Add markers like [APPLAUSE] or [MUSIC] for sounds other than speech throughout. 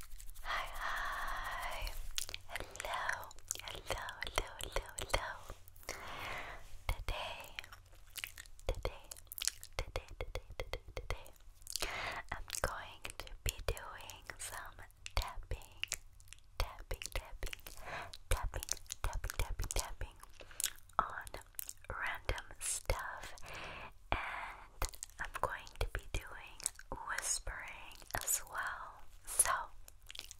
Hi, hi. Hello, hello, hello, hello, Today, today, today, today, today, today, I'm going to be doing some tapping, tapping, tapping, tapping, tapping, tapping, tapping on random stuff and I'm going to be doing whispering as well. So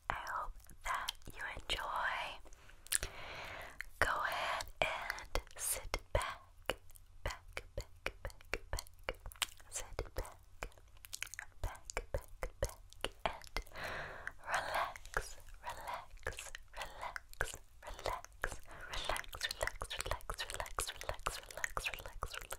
I hope that you enjoy. Go ahead and sit back, back, back, back, back, sit back, back, back, back, and relax, relax, relax, relax, relax, relax, relax, relax, relax, relax, relax, relax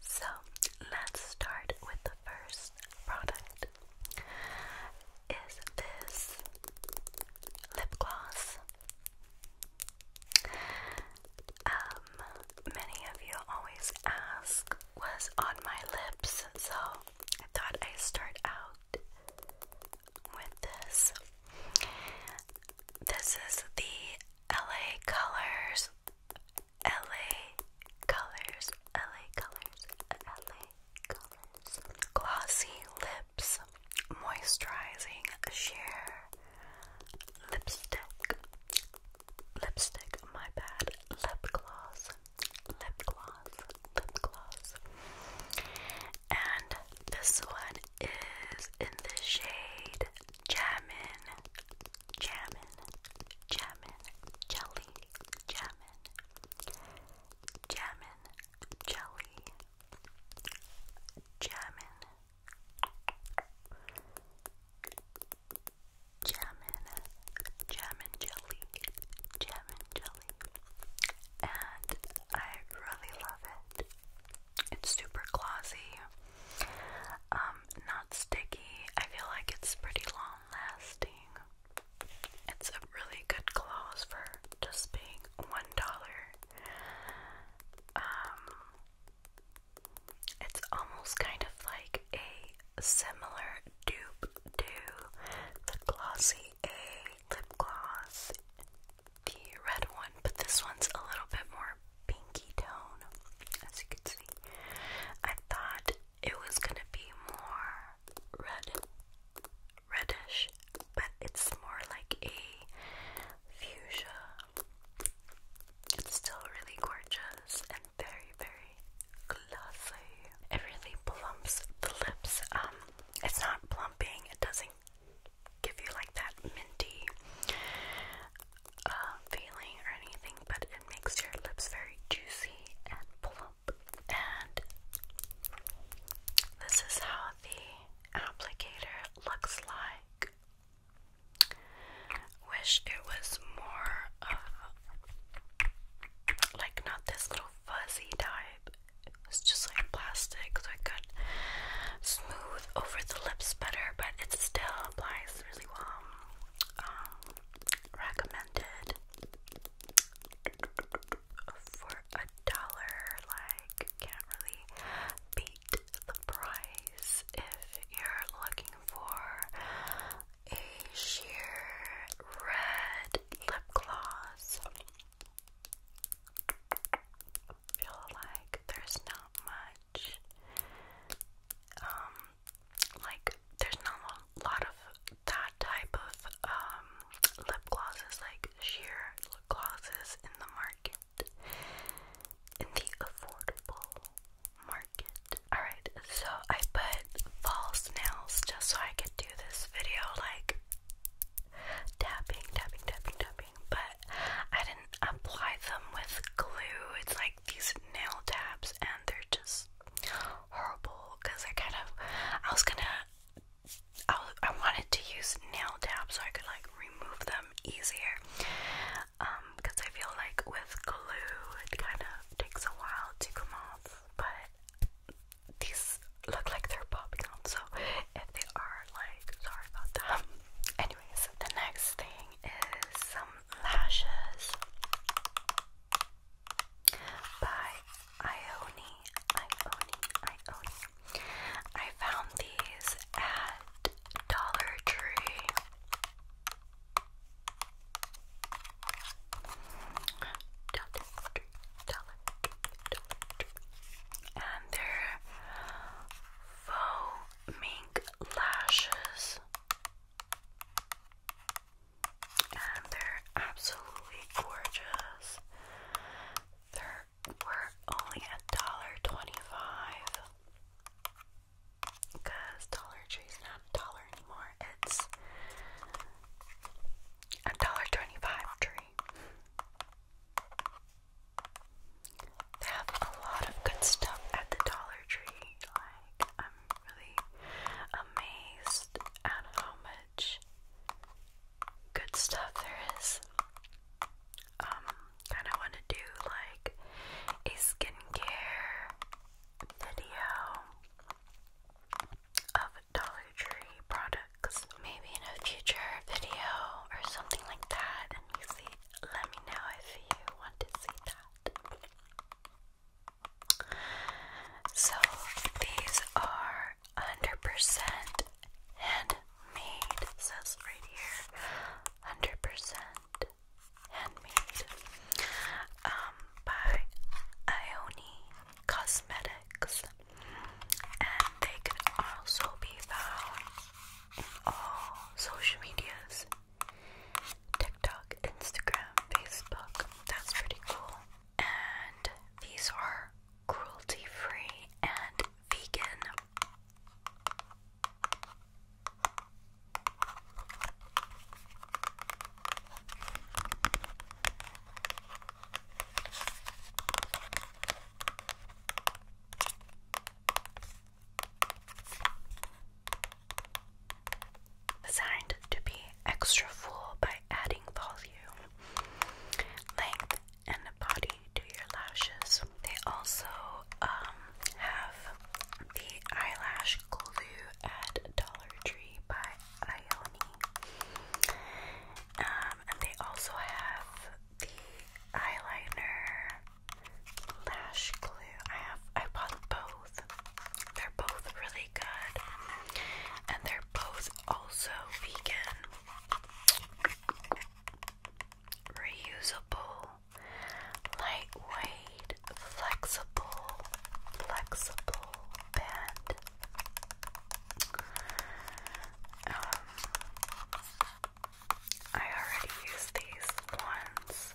So let's start with the first product. Is this lip gloss? Um, many of you always ask was on my lips, so I thought i start out with this. This is the LA Colors. LA Colors. LA Colors. LA Colors. Glossy Lips Moisturizing Sheer Lipstick. Lipstick, my bad. Lip gloss. Lip gloss. Lip gloss. And this one is in the shade Jammin, Jammin, Jammin, Jelly, Jammin, Jammin, Jelly, Jammin, Jammin, Jammin Jelly, Jammin Jelly. And I really love it. It's super glossy, um, not sticky. I feel like it's pretty long lasting. It's a really good gloss for just being one dollar. Um, it's almost kind of like a similar dupe to the Glossy A lip gloss the red one, but this one's a little bit more pinky tone, as you can see. I thought it was gonna be more red, reddish, but it's more like a fuchsia. It's still really gorgeous and very, very glossy. It really plumps the lips. Um, it's not plumping, it doesn't give you like that minty uh, feeling or anything, but it makes your lips very juicy and plump. And this is how the applicator looks like. Wish it was more of uh, like not this little fuzzy type. It's just like plastic, so I could smooth over the lips better, but it still applies really well. Um, recommended for a dollar, like, can't really beat the price if you're looking for a sheer red lip gloss feel like there's not much, um, like there's not a lot of that type of um, lip glosses, like sheer lip glosses in the market, in the affordable market. Alright, so I put false nails just so I could do this video, like tapping, tapping, tapping, tapping but I didn't apply them with glue. It's like these nail tabs, and they're just horrible because I kind of I was gonna I, I wanted to use nail tabs so I could like remove them easier. Um, because I feel like with glue it kind of takes a while to come off, but these look like they're popping out, so if they are like sorry about them. Anyways, the next thing is some lashes by Ioni. Ioni. Ioni. I found these at Dollar Tree. Dollar Tree. Dollar Tree. And they're foaming lashes, and they're absolutely gorgeous. They were only a dollar twenty-five because Dollar Tree's not a dollar anymore. It's a dollar twenty-five tree. They have a lot of good stuff at the Dollar Tree. Like, I'm really amazed at how much good stuff there is. Um, kind of want to do like a skincare video of Dollar Tree products. Cause maybe in a future video or something like that, and you see, let me know if you want to see that. So these are 100% handmade. says right here, 100% handmade um, by Ioni Cosmetics, and they can also be found all social medias TikTok, Instagram, Facebook. That's pretty cool. And these are cruelty free and vegan. Designed to be extra full by adding volume, length, and body to your lashes. They also um, have the eyelash glue at Dollar Tree by Ioni. Um, and they also have the eyeliner, lash glue. I have I bought both. They're both really good. And they're both also vegan. Reusable, lightweight, flexible, flexible band. Um, I already used these once,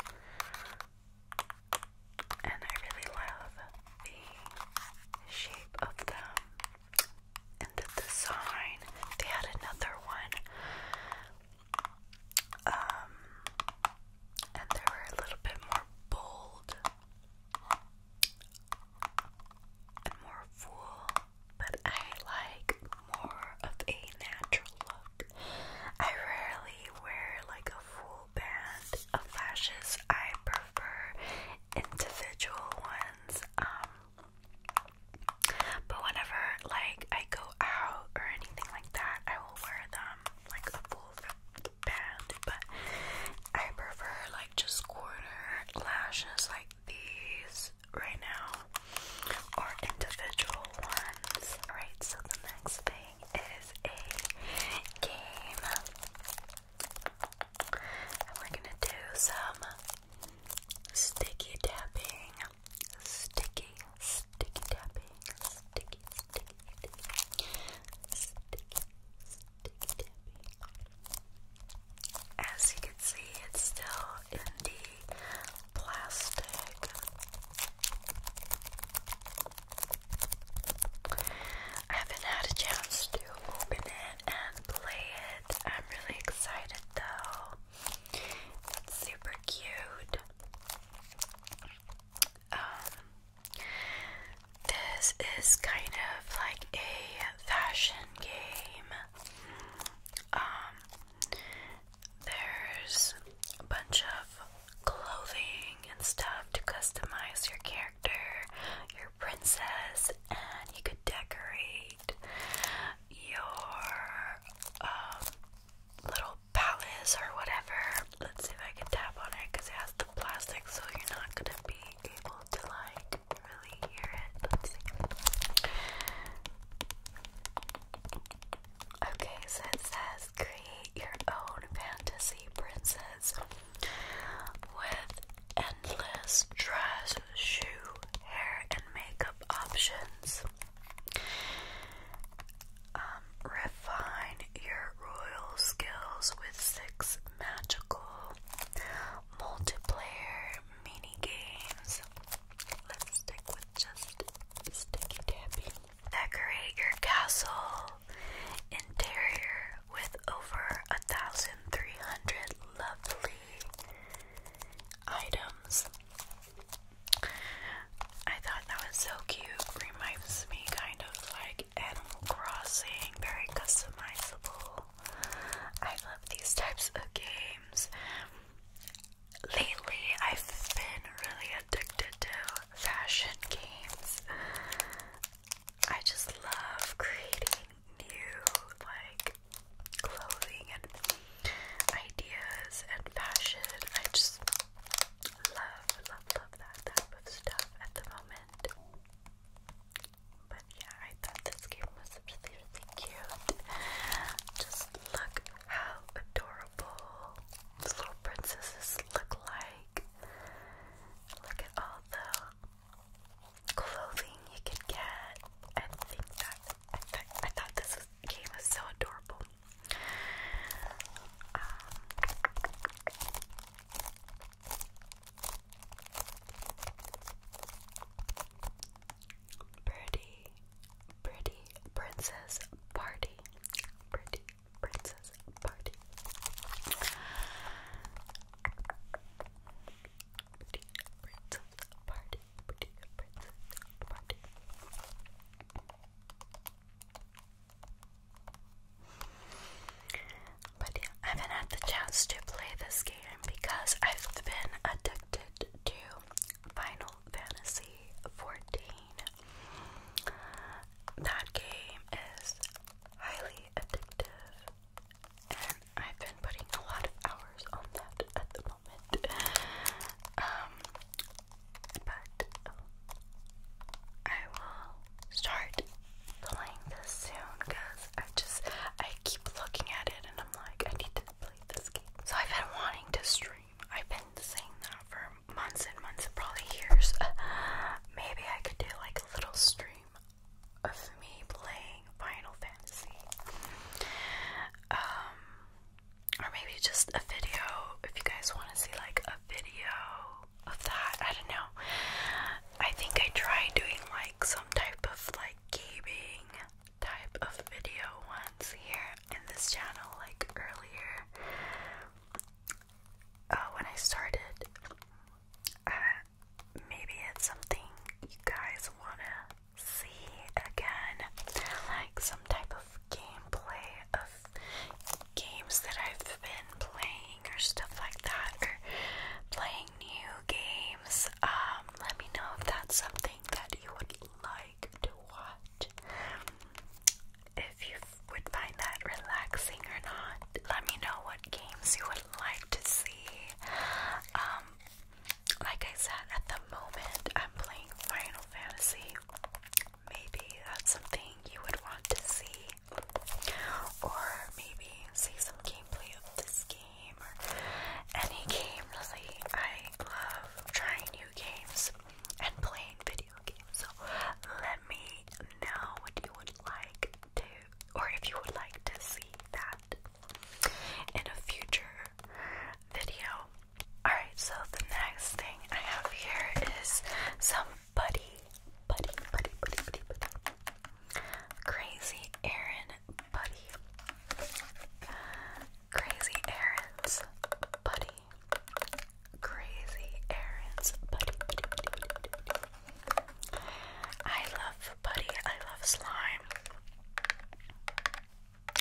and I really love the shape of them and the design. They had another one, um, and they were a little bit more bold and more full but I like more of a natural look. I rarely wear like a full band of lashes. I prefer individual ones. Um, but whenever like I go out or anything like that, I will wear them like a full band. But I prefer like just quarter lashes. Like these right now are individual ones. Alright, so the next thing is a game. And we're gonna do some sticky tapping. Sticky, sticky tapping. Sticky, sticky, sticky. Sticky, sticky tapping. As you can see, it's still in the plastic. I haven't had a chance to open it and play it. I'm really excited though. super cute. Um, this is kind of like a fashion game. Um, there's a bunch of clothing and stuff to customize your character, your princess, and you could decorate your um, little palace or whatever. Let's see if I can tap on it because it has the plastic, so you're not gonna be able to like Okay, so it says create your own fantasy princess with endless dress, shoe, hair, and makeup options. Um, refine your royal skills with six magical multiplayer mini games. Let's stick with just sticky tapping. Decorate your castle interior with over a thousand three hundred lovely items. I thought that was so cute. Reminds me kind of like Animal Crossing, very customizable. I love these types of games. Lately, I've been really addicted to fashion games. I just love creating new, like, clothing and ideas and fashion. I just love, love, love that type of stuff at the moment. But yeah, I thought this game was really, cute. Just look how adorable little princesses look like. Look at all the clothing you can get. I think that I, thought this game was so adorable. Um, Pretty, pretty princess party. Pretty princess party. Pretty princess party. Pretty princess party. But yeah, I haven't had the chance to play this game because I've been addicted to Final Fantasy XIV. That game is highly addictive, and I've been putting a lot of hours on that at the moment. Um, but I will start playing this soon because I just I keep looking at it and I'm like, I need to play this game. So I've been wanting to stream. I've been saying that for months and months, and probably years. [LAUGHS] maybe I could do like a little stream of me playing Final Fantasy. Um or maybe just a video if you guys want to see like a video of that. I don't know. I think I tried doing like some type of like gaming type of video once here in this channel, like earlier uh, when I started. Uh, maybe it's something you guys wanna see again, like some type of gameplay of games that I've been playing or stuff like that, or playing new games. Um, let me know if that's something that you would like to watch. If you would find that relaxing or not, let me know what games you would like to see. Um, like I said, at the moment I'm playing Final Fantasy. Maybe that's something you would want to see. Or maybe see some gameplay of this game any game, really. I love trying new games and playing video games. So let me know what you would like to, or if you would like to see that in a future video. Alright, so the next thing I have here is some buddy, buddy, buddy, buddy, buddy, buddy. Crazy Aaron Buddy. Crazy Errands, Buddy. Crazy Errands, I love Buddy. I love slime.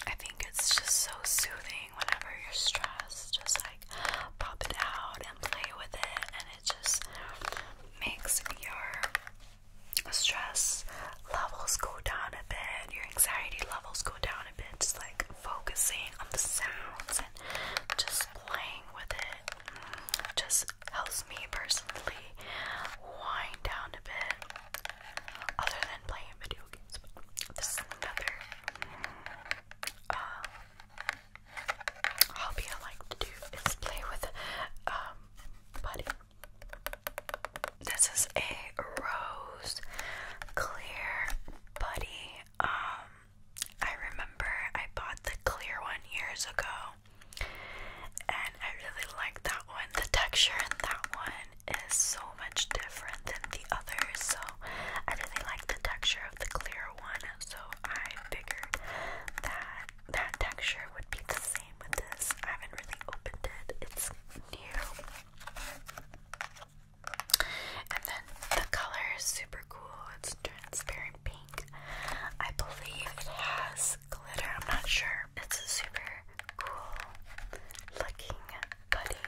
I think it's just so soothing whenever you're stressed. Just like pop it out and play with it, and it just makes your stress levels go down a bit, your anxiety levels go down a bit, just like focusing on the sounds and just playing with it mm, just helps me personally wind down a bit other than playing video games. This is another um, hobby I like to do is play with um, buddy this is a rose clear buddy. Um, I remember I bought the clear one years ago, and I really like that one. The texture in that one is so much different than the others, so I really like the texture of the clear one. So I figured that that texture would be the same with this. I haven't really opened it. It's new. And then the color is super cool. It's transparent pink. I believe it has glitter. I'm not sure. It's a super cool looking buddy.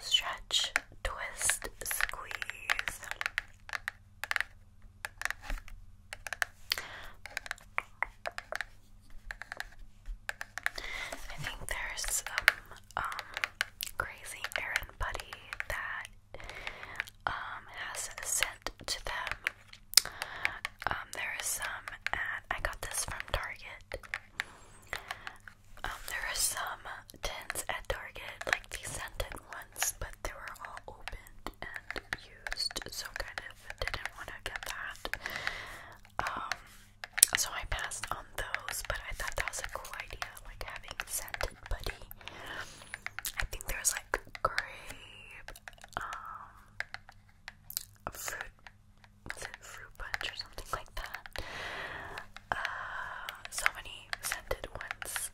Stretch, twist, squeeze. I think there's some um, crazy errand buddy that um, has sent to them. Um, there is some I got this from Target. there are some tins at Target, like the scented ones, but they were all opened and so kind of didn't want to get that. Um, so I passed on those, but I thought that was a cool idea, like having scented buddy. I think there's like grape, um, fruit, fruit punch or something like that? Uh, so many scented ones.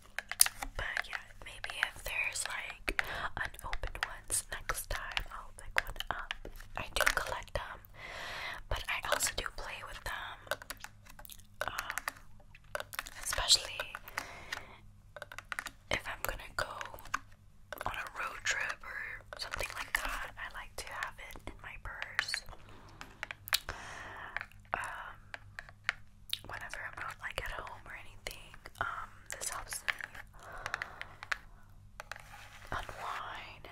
But yeah, maybe if there's like unopened ones next time. I'll pick one up. I do collect them, but I also do play with them. Um, especially if I'm gonna go on a road trip or something like that, I like to have it in my purse. Um, whenever I'm like at home or anything, um, this helps me unwind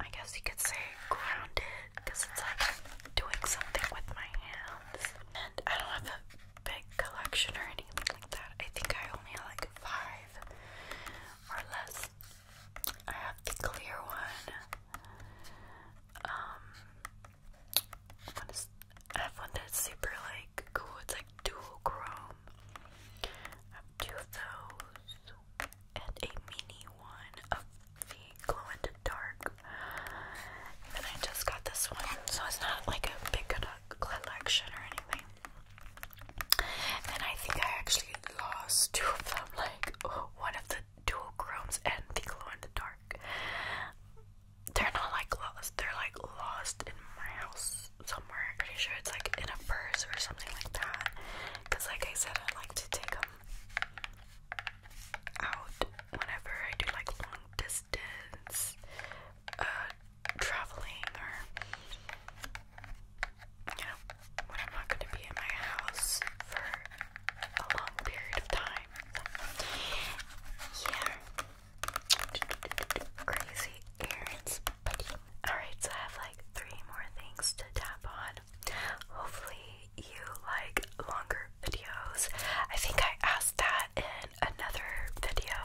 I guess you could say, grounded it's like doing something with my hands. And I don't have a big collection or anything like that. I think I only have like five or less. I have the clear one. Um, I have one that's super like cool. It's like dual chrome. I have two of those and a mini one of the glow in dark. And I just got this one, so it's not like a big collection or anything. And I think I actually lost two of them, like one of the dual chromes and the glow in the dark they're not like lost, they're like lost in my house somewhere. pretty sure it's like in a purse or something like that. Because, like I said, I like to take them out whenever I do like long distance uh, traveling or you know, when I'm not going to be in my house for a long period of time. yeah. Crazy errands. Alright, so I have like three more things to tap on. Hopefully, you like longer videos. I think I asked that in another video,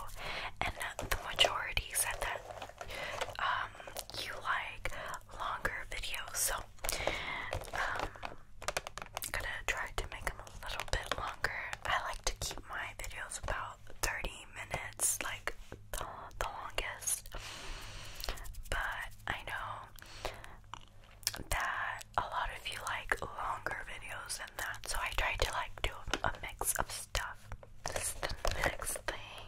and the majority said that um, you like longer videos. So, um, I'm gonna try to make them a little bit longer. I like to keep my videos about 30 minutes, like the, longest. But I know that a lot of you like longer videos than that, so I tried to like do a mix of stuff. This is the next thing.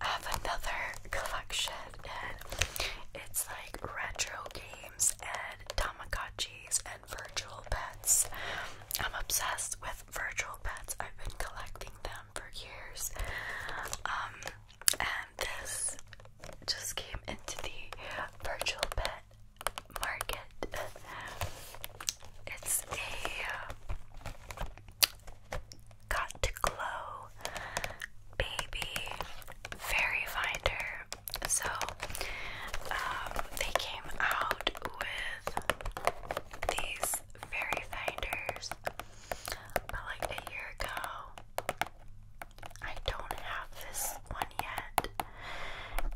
I have another collection, and it's like retro games games and Tamagotchis and virtual pets. I'm obsessed with virtual pets. I've been collecting them for years. Um, and this just came into the virtual pet market. It's a Got to Glow Baby Fairy Finder so um, they came out with these fairy finders but like a year ago. I don't have this one yet.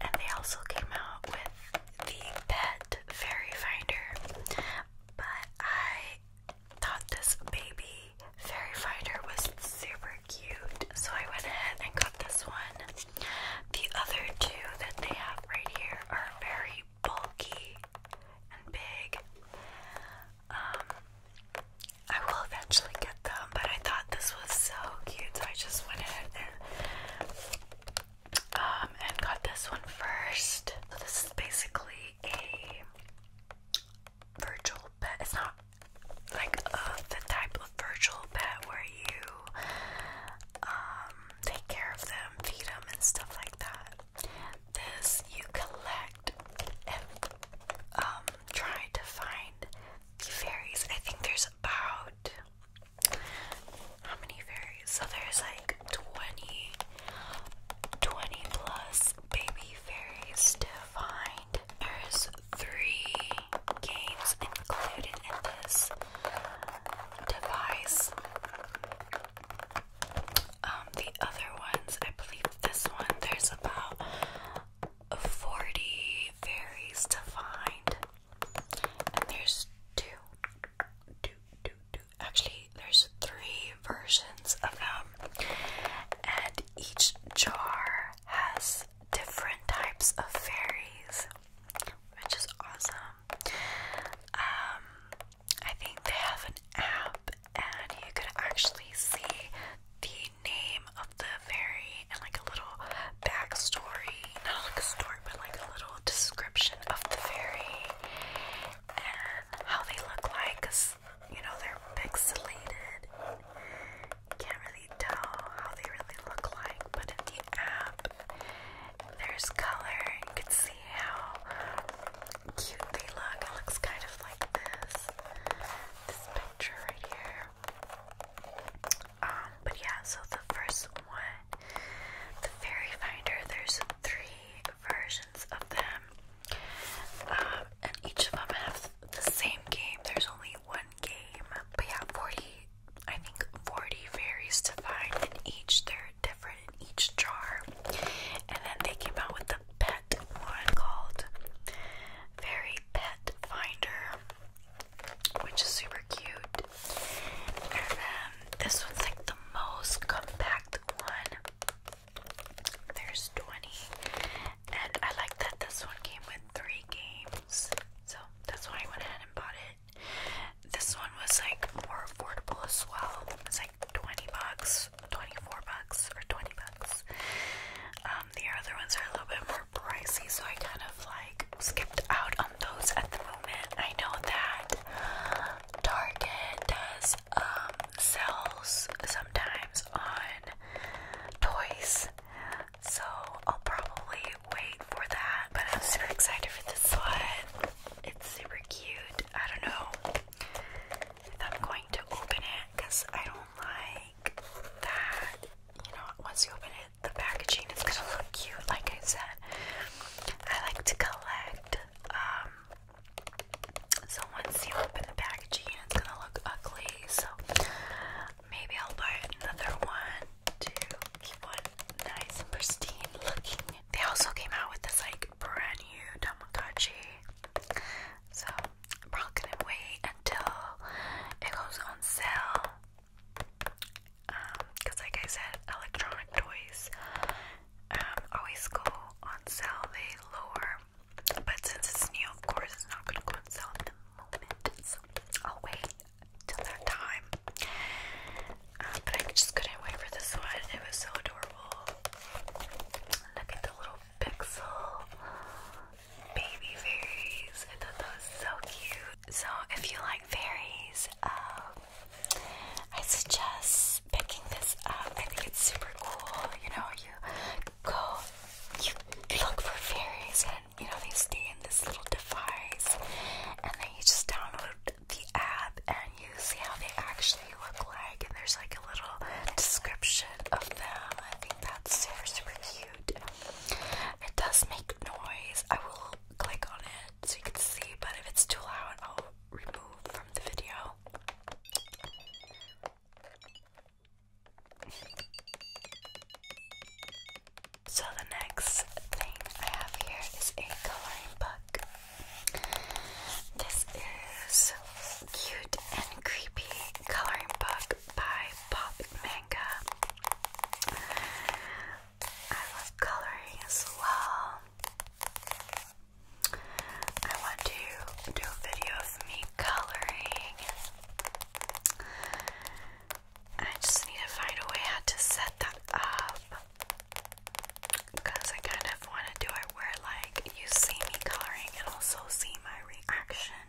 And they also came out with the pet fairy finder. But I thought this baby fairy finder was super cute. So I went ahead and got this one. The other two that they have right here are very bulky and big. Um, I will eventually get them, but I thought this was so cute, so I just went ahead and um, got this one first. So this is basically a Virgil virtual It's not like uh, the type of virtual pet where you um, take care of them, feed them, and stuff like that. This you collect and um, try to find the fairies. I think there's about how many fairies? So there's like 20, 20 plus baby fairies still. There's three games included in this device. Um, the other ones, I believe this one, there's about 40 fairies to find. there's two, two, two, two. Actually, there's three versions of them, and each jar has different types of fairies, which is awesome. Um, I think they have an app, and you could actually see the name of the fairy and like a little backstory not like but like a little description of the fairy and how they look like because you know they're pixelated can't really tell how they really look like, but in the app, there's color. You can see how cute they look. It looks kind of like this, this picture right here. Um, but yeah, so the first one, the Fairy Finder, there's three versions of them, um, and each of them have the same game. There's only one game. But yeah, 40, I think 40 fairies to find in each. They're different in each jar. And then they came out with the pet one called Fairy Pet Finder, which is super cute. And this one's like the most compact one. There's 20. And I like that this one came with three games. So that's why I went ahead and bought it. This one was like more affordable as well. It's like 20 bucks, 24 bucks, or 20 bucks. Um, the other ones are a little bit more pricey, so I kind of like skipped out on those at the moment. I know that Target does um, sells sometimes on toys. So I'll probably wait for that. But I'm super excited for this one. It's super cute. I don't know if I'm going to open it because I don't like that. You know, once you open it, the packaging is gonna look cute. Like I said, I like to collect. Um, so once you open the packaging, it's gonna look ugly. So Maybe I'll buy another one to keep one nice pristine looking. They also came out with this like brand new Tamagotchi. So probably gonna wait until it goes on sale. Um, cause like I said, electronic toys um always go on sale. They lower but since it's new, of course, it's not going to go on sale at the moment. So I'll wait till that time. Uh, but I just couldn't wait for this one. It was so adorable. Look at the little pixel baby fairies. I thought that was so cute. So if you like fairies, um, I suggest picking this up. I think it's super cool. You know, you go. You look for fairies, and you know they stay in this little device, and then you just download the app, and you see how they actually look like. And there's like a little description of them. I think that's super super cute. It does make noise. I will click on it so you can see, but if it's too loud, I'll remove from the video. So the next thing I have here is a coloring book. This is Cute and Creepy Coloring Book by Pop Manga. I love coloring as well. I want to do a video of me coloring I just need to find a way how to set that up because I kind of want to do it where like you see me coloring and also see my reaction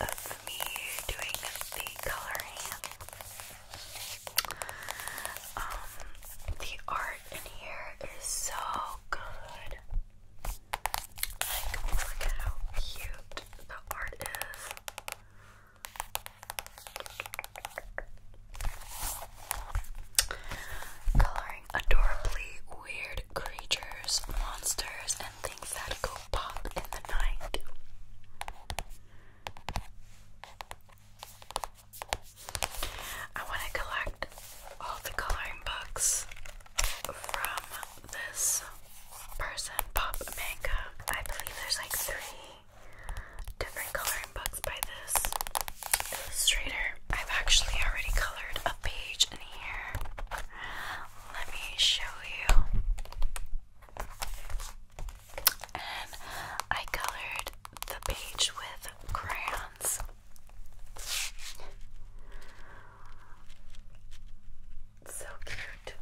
of me doing the coloring. Um, the art in here is so good look at how cute the art is. Coloring adorably weird creatures, monsters, and things that go pop in the night. I want to collect all the coloring books from this person, Pop Manga. I believe there's like three different coloring books by this illustrator. I've actually already colored a page in here. Let me show you. And I colored the page with crayons. So cute.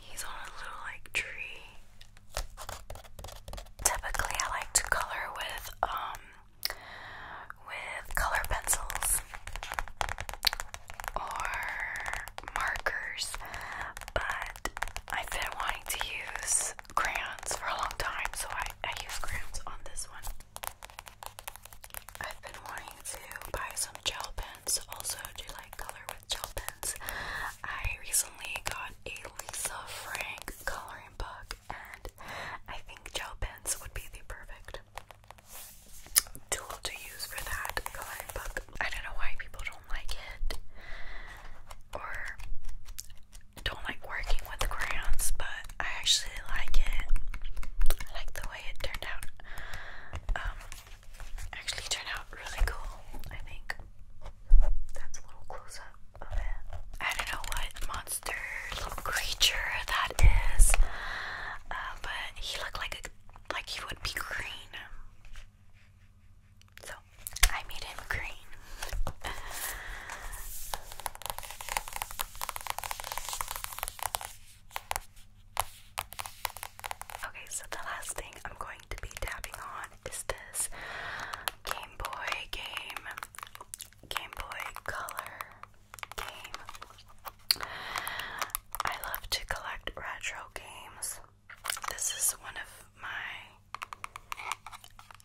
He's on a little like tree. Typically, I like to color with um with color pencils or markers, but I've been wanting to use crayons for a long time, so I I use crayons on this one. I've been wanting to buy some gel pens, also do like color with gel pens. I recently got a Lisa Frank coloring book, and I think gel pens would be the perfect tool to use for that coloring book. I don't know why people don't like it or don't like working with the crayons, but I actually like it. I like the the way it turned out. Um, actually turned out really cool. I think that's a little close up of it. I don't know what monster little creature that is, uh, but he looked like a, like he would be green. So I made him green. Okay, so the last thing I'm going to be tapping on is this Game Boy game, Game Boy Color game. I love to collect retro games. This is one of my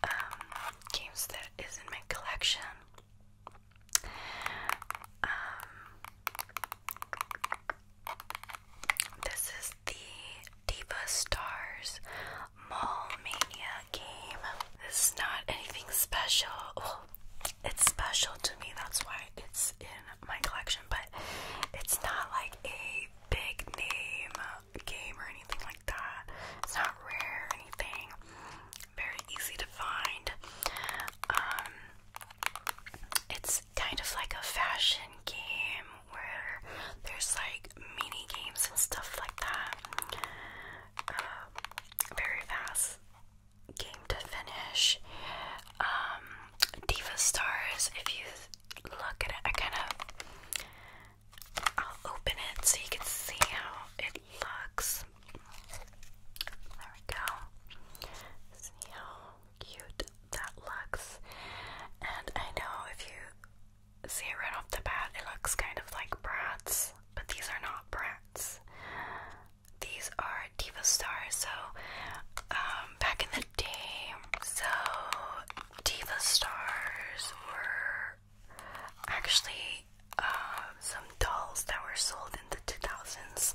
um, games that is in my collection. Um, this is the Diva Stars Mall Mania game. It's not anything special. it's special to me, that's why it's in my collection, but it's not like a big name game or anything like that. It's not rare or anything. Very easy to find um, it's kind of like a fashion game where there's like mini games and stuff like that. Um, very fast game to finish. Um, Diva Stars, if you look at it, I kind of I'll open it so you can see how it looks. There we go. See how cute that looks. And I know if you see it right off the bat, it looks kind of like brats, but these are not brats. These are Diva Stars. So, um, back in the day, so Diva Stars were actually uh, some dolls that were sold in the 2000s.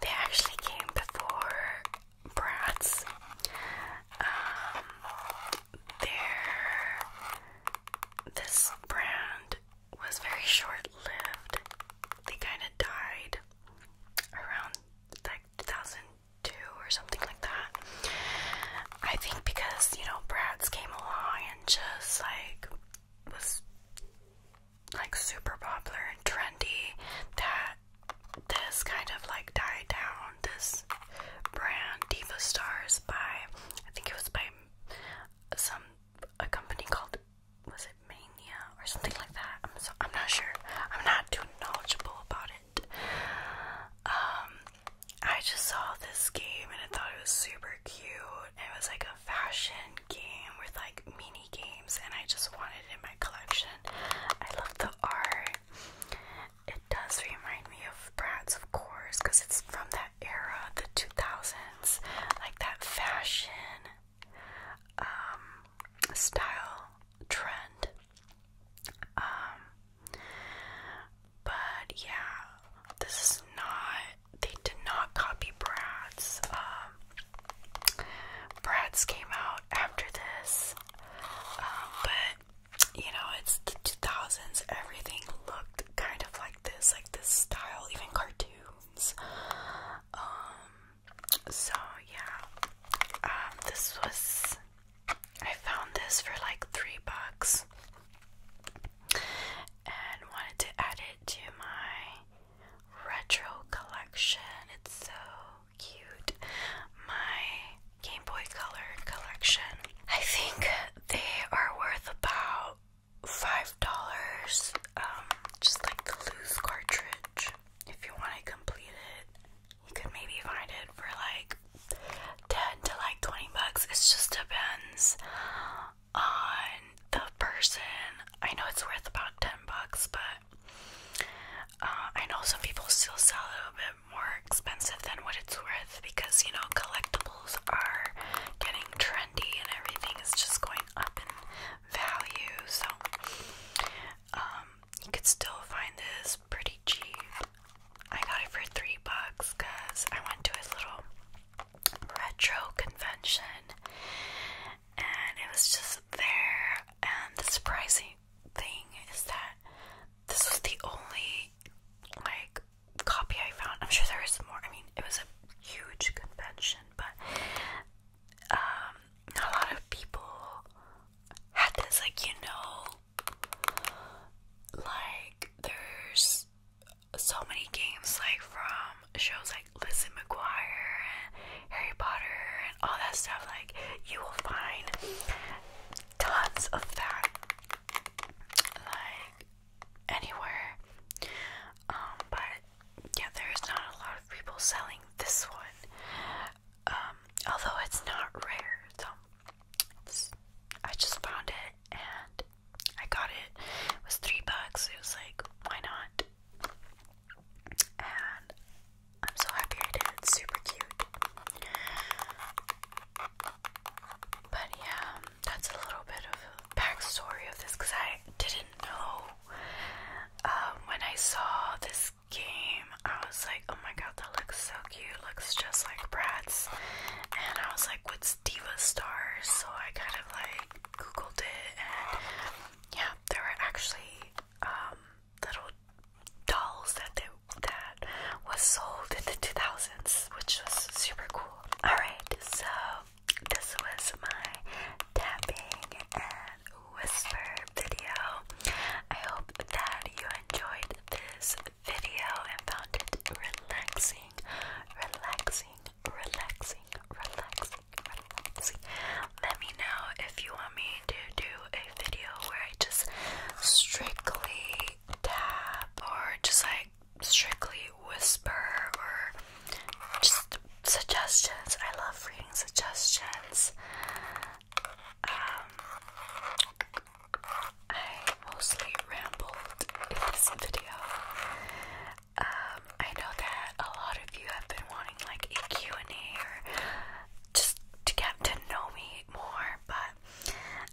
They actually came before Bratz. Um, this brand was very short lived. They kind of died around like 2002 or something like that. I think because, you know, Bratz came along and just like was like super popular and trendy that this kind of like died down. This brand, Diva Stars, by I think it was by some a company called was it Mania or something like that. I'm I'm not sure. I'm not too knowledgeable about it. Um, I just saw this game and I thought it was super cute it was like a fashion game with like mini games, and I just wanted it in my collection. I love the art. It does remind me of Bratz, of course, because it's from that era, the 2000s, like that fashion um, style trend. Um, but yeah, this is not they did not copy Bratz. Um, Bratz came out after this, um, but you know, it's the 2000s, everything looked kind of like this, like this style, even cartoons. Um, so yeah, um, this was. I found this for like three bucks and wanted to add it to my retro collection. It's so cute. My Game Boy Color collection. I think they are worth about five dollars. Um, just like the loose cartridge. If you want to complete it, you could maybe find it for like ten to like twenty bucks. It just depends on the person. I know it's worth about 10 bucks, but uh, I know some people still sell it a little bit more expensive than what it's worth because you know collectibles are getting trendy and everything is just going up in value. So, um, you could still find this pretty cheap. I got it for three bucks because I went to his little retro convention, and it was just there. And the surprising thing is that this was the only like copy I found. I'm sure there is more. I mean, it was a huge convention, but um, not a lot of people had this. Like you know, like there's so many games like from shows like Lizzie McGuire and Harry Potter and all that stuff. Like you will find tons of that like anywhere. Um, but yeah, there's not a lot of people selling this one. Um, although it's not rare, though. I just found it and I got it. It was three bucks. It was like, why not? And I'm so happy I did. It's super cute. But yeah, that's a little bit of backstory of this because I didn't know um, when I saw this game. I was like, oh my god, that looks so cute. Looks just like Bratz. And I was like, what's diva stars, so I kind of like googled it, and yeah, there were actually um, little dolls that they, that was sold in the 2000s, which was super cool. All right, so this was my tapping and whisper video. I hope that you enjoyed this video and found it relaxing, relaxing, relaxing, relaxing, relaxing. Let me know if you want me to do a video where I just strictly tap or just like strictly whisper or just suggestions. I love reading suggestions. Um, mostly rambled in this video. Um, I know that a lot of you have been wanting like a and a or just to get to know me more, but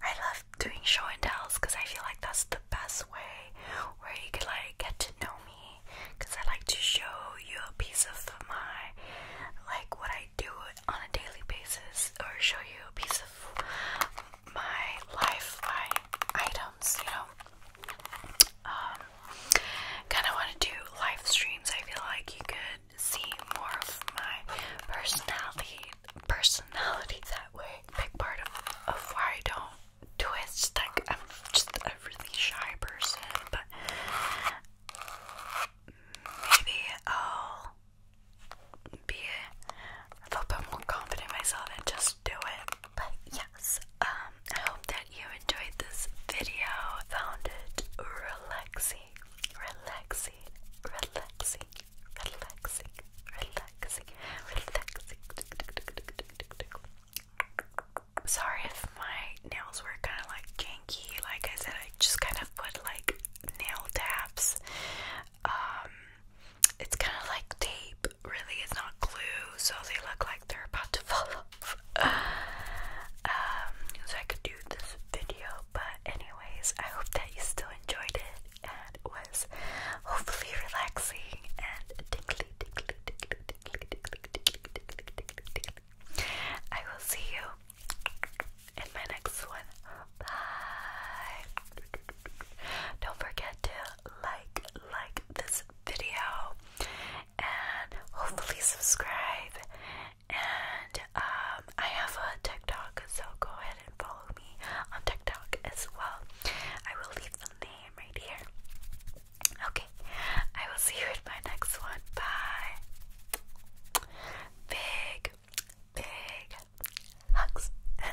I love doing show and tells because I feel like that's the best way where you can like get to know me because I like to show you a piece of my like what I do on a daily basis or show you a piece of my life I items, you know. Um, kind of want to do live streams. I feel like you could see more of my personality, personality that way. Big part of, why I don't do it. It's like I'm just a really shy person, but maybe I'll be I felt a bit more confident in myself and just do it. But yes, um, I hope that you enjoyed this video. Found it relaxing, relaxing, relaxing, relaxing, relaxing, relaxing. Sorry if my nails were kind of like janky. Like I said, I just kind of put like nail taps um, it's kind of like tape, really, it's not glue, so they look like they're about to [LAUGHS] fall off. Um, so I could do this video, but anyways, I hope that you still enjoyed it and it was hopefully relaxing and tingly, tingly, tingly, tingly, tingly, tingly, tingly, tingly, tingly. I will see you in my next one. Bye. Don't forget to like, like this video, and hopefully subscribe. And um, I have a TikTok, so go ahead and follow me on TikTok as well. I will leave the name right here. Okay, I will see you in my next one. Bye. Big, big hugs.